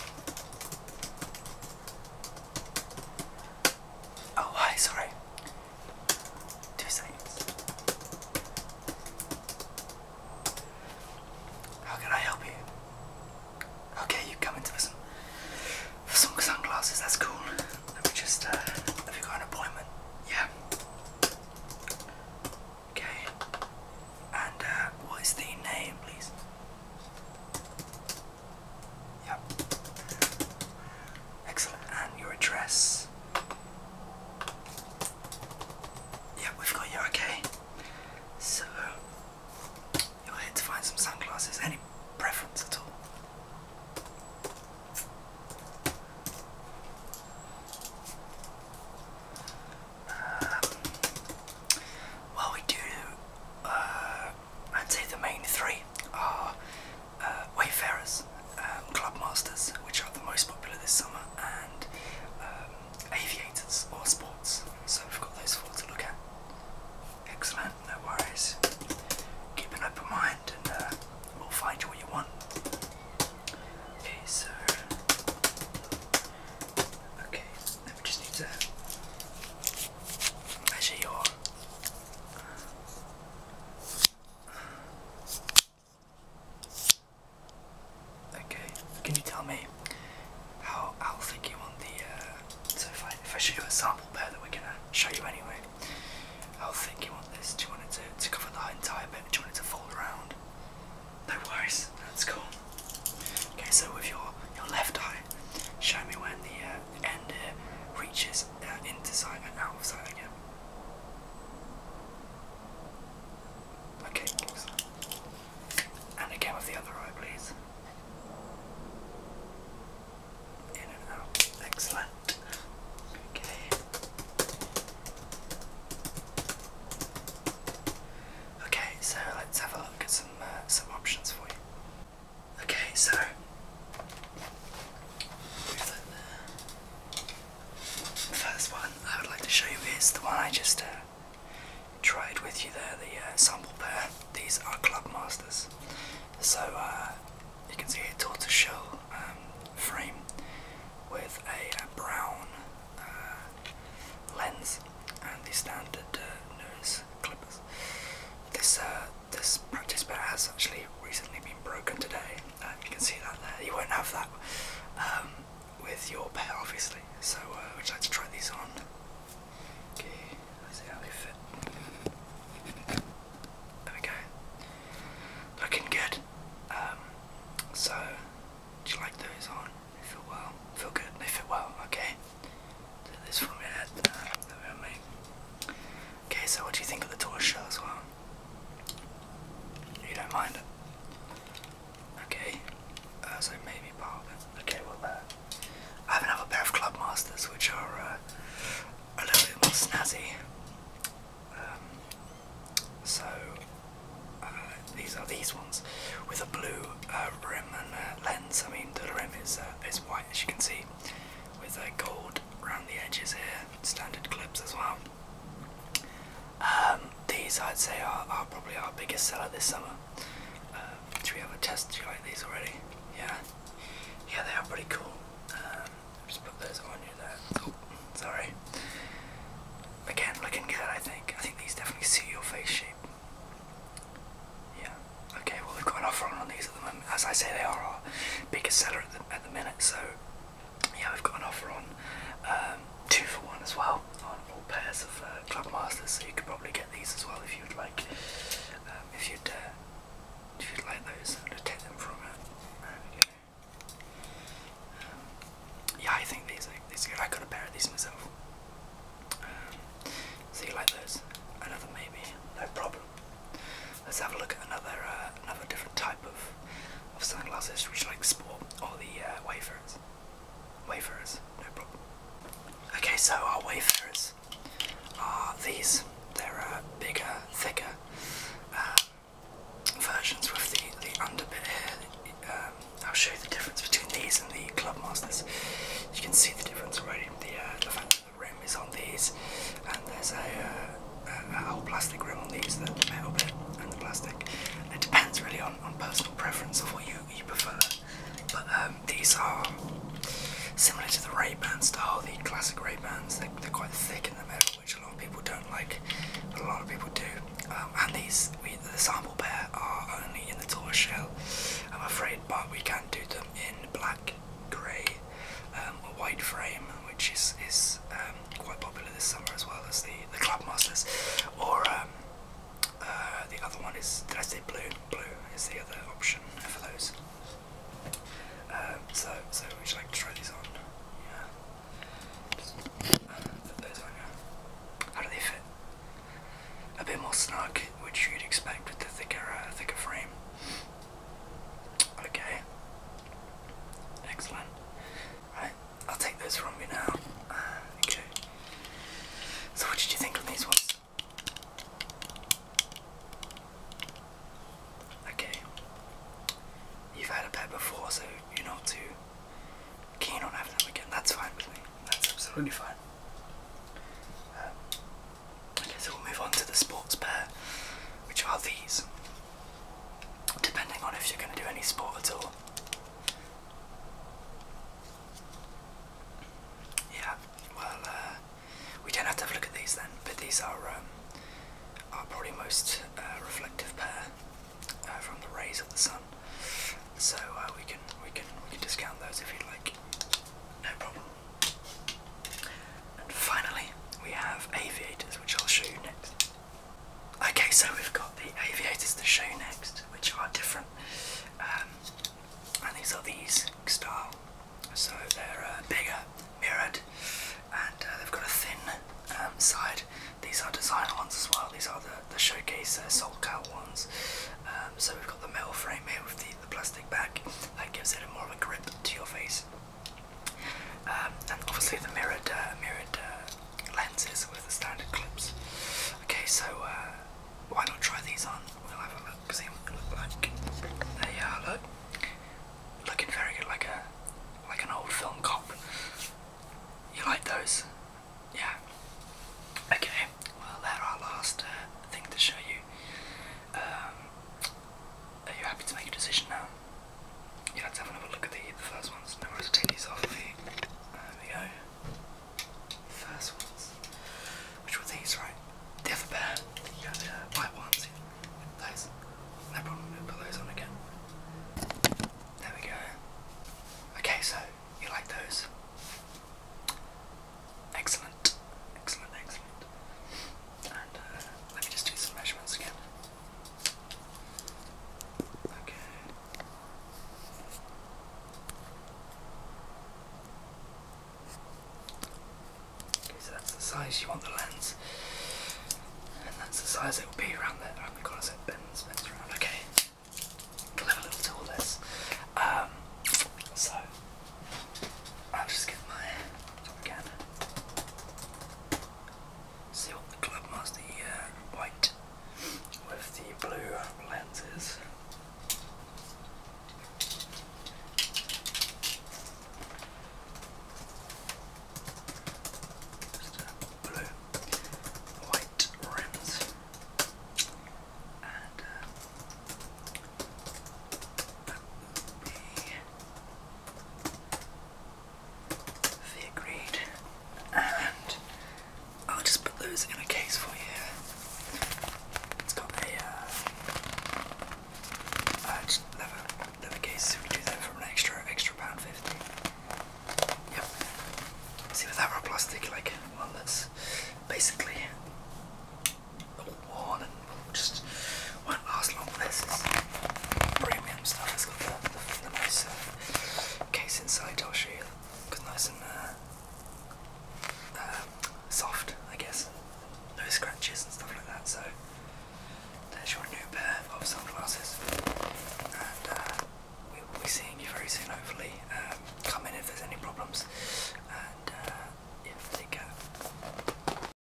Oh, hi, sorry. Two seconds. How can I help you? Okay, you come into for some, sunglasses, that's cool. Let me just, uh, have you got an appointment? Yeah. Okay. And uh, what is the name, please? Yep. Excellent. And your address? Yep, we've got you. Okay. So you're here to find some sunglasses. Any preference at all? well, we do. Uh, I'd say the main three are uh, Wayfarers, um, Clubmasters, which are the most popular this summer, and um, Aviators or Sports. So we've got those four to look at. Excellent, no worries. Keep an open mind and uh, we'll find you what you want. Okay, so Okay, now we just need to measure your Okay, can you tell me how how think you want the uh so if I if I show you a sample pair that we're gonna show you anyway, how think you want this? Do you want it to, to cover the entire bit? Do you want it to fold around? No worries, that's cool. Okay, so with your your left eye, show me when the uh, end reaches uh, into sight and out of sight again. Okay, and again with the other eye, please. In and out. Excellent. Okay. Okay, so let's have a look at some uh, some options for you. Okay, so the first one I would like to show you is the one I just uh, tried with you there, the uh, sample pair. These are Club Masters. So uh, you can see a tortoise shell um, frame with a, brown uh, lens and the standard uh, nose clippers. This uh, this practice pair has actually recently been broken today. you can see that there. You won't have that um, with your pair, obviously. So I would like to try these on. Okay, let's see how they fit. There Looking good. Um, so, do you like those on? They feel well. Feel good. They fit well. Okay. Do this for me. Okay. So, what do you think of the tour show as well? You don't mind Okay. Uh, so maybe part Okay. Well, uh, I have another pair of Club Masters, which are uh, a little bit more snazzy. Um, so uh, these are these ones with a blue uh, rim and uh, lens. I mean, the rim is uh, is white as you can see, with uh, gold around the edges here. Standard clips as well. Um, these I'd say are, are probably our biggest seller this summer. do we have a test? like these already? Yeah, yeah, they are pretty cool. Um, just put those on you there. Oh, sorry. Again, looking good, I think. I think these definitely suit your face shape. Yeah. Okay, well, we've got an offer on, these at the moment. As I say, they are our biggest seller at the, at the minute, so yeah, we've got an offer on um, two for one as well on all pairs of uh, Club Masters, so you could probably get these as well if you'd like. Um, if you'd uh, if you like those and uh, attack them from um, yeah, I think these are, these are good. I got a pair of these myself. Um, so you like those? Another maybe, no problem. Let's have a look at another uh, another different type of of sunglasses, which like sport or the uh, wayfarers. Wayfarers, no problem. Okay, so our wayfarers are these. They're uh, bigger, thicker um, versions with the, the underbit here. Um, I'll show you the difference between these and the Club Masters. You can see the difference already. The, uh, the fact that the rim is on these, and there's a, uh, plastic rim on these, the, metal bit and the plastic. It depends really on, on personal preference of what you, you prefer. But uh, um, these are similar to the Ray-Ban style, the classic Ray-Bans. They're, quite thick in the middle, which a lot of people don't like, but a lot of people do. Um, and these, the sample pair, are only in the tortoise shell, I'm afraid, but we can do them in black, grey, or um, white frame, which is is quite popular this summer as well as the the Club Masters, or uh, the other one is, did I say blue? Blue is the other option for those. Uh, so, so would you like to try these on? Yeah. Uh, put those on, How do they fit? A bit more snug, which you'd expect with the thicker, thicker frame. Okay. Excellent. Right, I'll take those from you now. okay. So, what did you think of these ones? Okay. You've had a pet before, so you're not too keen on having them again. That's fine with me. That's absolutely fine. Um, okay, so we'll move on to the sports pair, which are these. Depending on if you're going to do any sport at all. Yeah, well, uh, we don't have to have a look at these then, but these are our um, probably most uh, reflective pair uh, from the rays of the sun. So we can we can we can discount those if you like, no problem. And finally, we have aviators, which I'll show you next. Okay, so we've got the aviators to show you next, which are different. Um, and these are these style, so they're uh, bigger, mirrored, and uh, they've got a thin um, side. These are designer ones as well. These are the, the showcase uh, Soul Cow ones. Um, so we've got the metal frame here with the, the plastic back that gives it a more of a grip to your face. and obviously the mirrored uh, mirrored lenses with the standard clips. Okay, so uh, why not try these on? We'll have a look, see what they look like. There you are, look. Looking very good, like a like an old film cop. You like those? Yeah. Okay. Well, that's our last uh, thing to show you. Um, are you happy to make a decision now? Yeah, let's have another look at the, the first ones. Now, take these off there we go. First ones. Which were these, right? The other Yeah, uh, white ones. Those. No problem, put those on again. There we go. Okay, so you like those? Excellent. Excellent, excellent. And uh, let me just do some measurements again. Okay. Okay, so that's the size you want the lens, and that's the size it will be around there. around the corner. So bends, bends around. Okay, clever little tool Um, so I'll just get my again see what the Clubmaster uh, white with the blue lenses, Just a blue, white rims, and uh, that would be they agreed. And I'll just put those in a case for you. It's got a uh, uh just leather, leather case. We do that for an extra extra pound fifty. Yep. See with that raw plastic like one that's basically worn and just won't last long. This is premium stuff. It's got the, the, nice uh, case inside. I'll show you. It's nice and uh, uh, soft, I guess. No scratches and stuff like that. So there's your new pair of sunglasses, and we will be seeing you very soon. Hopefully, um, come in if there's any problems, and yeah, take care.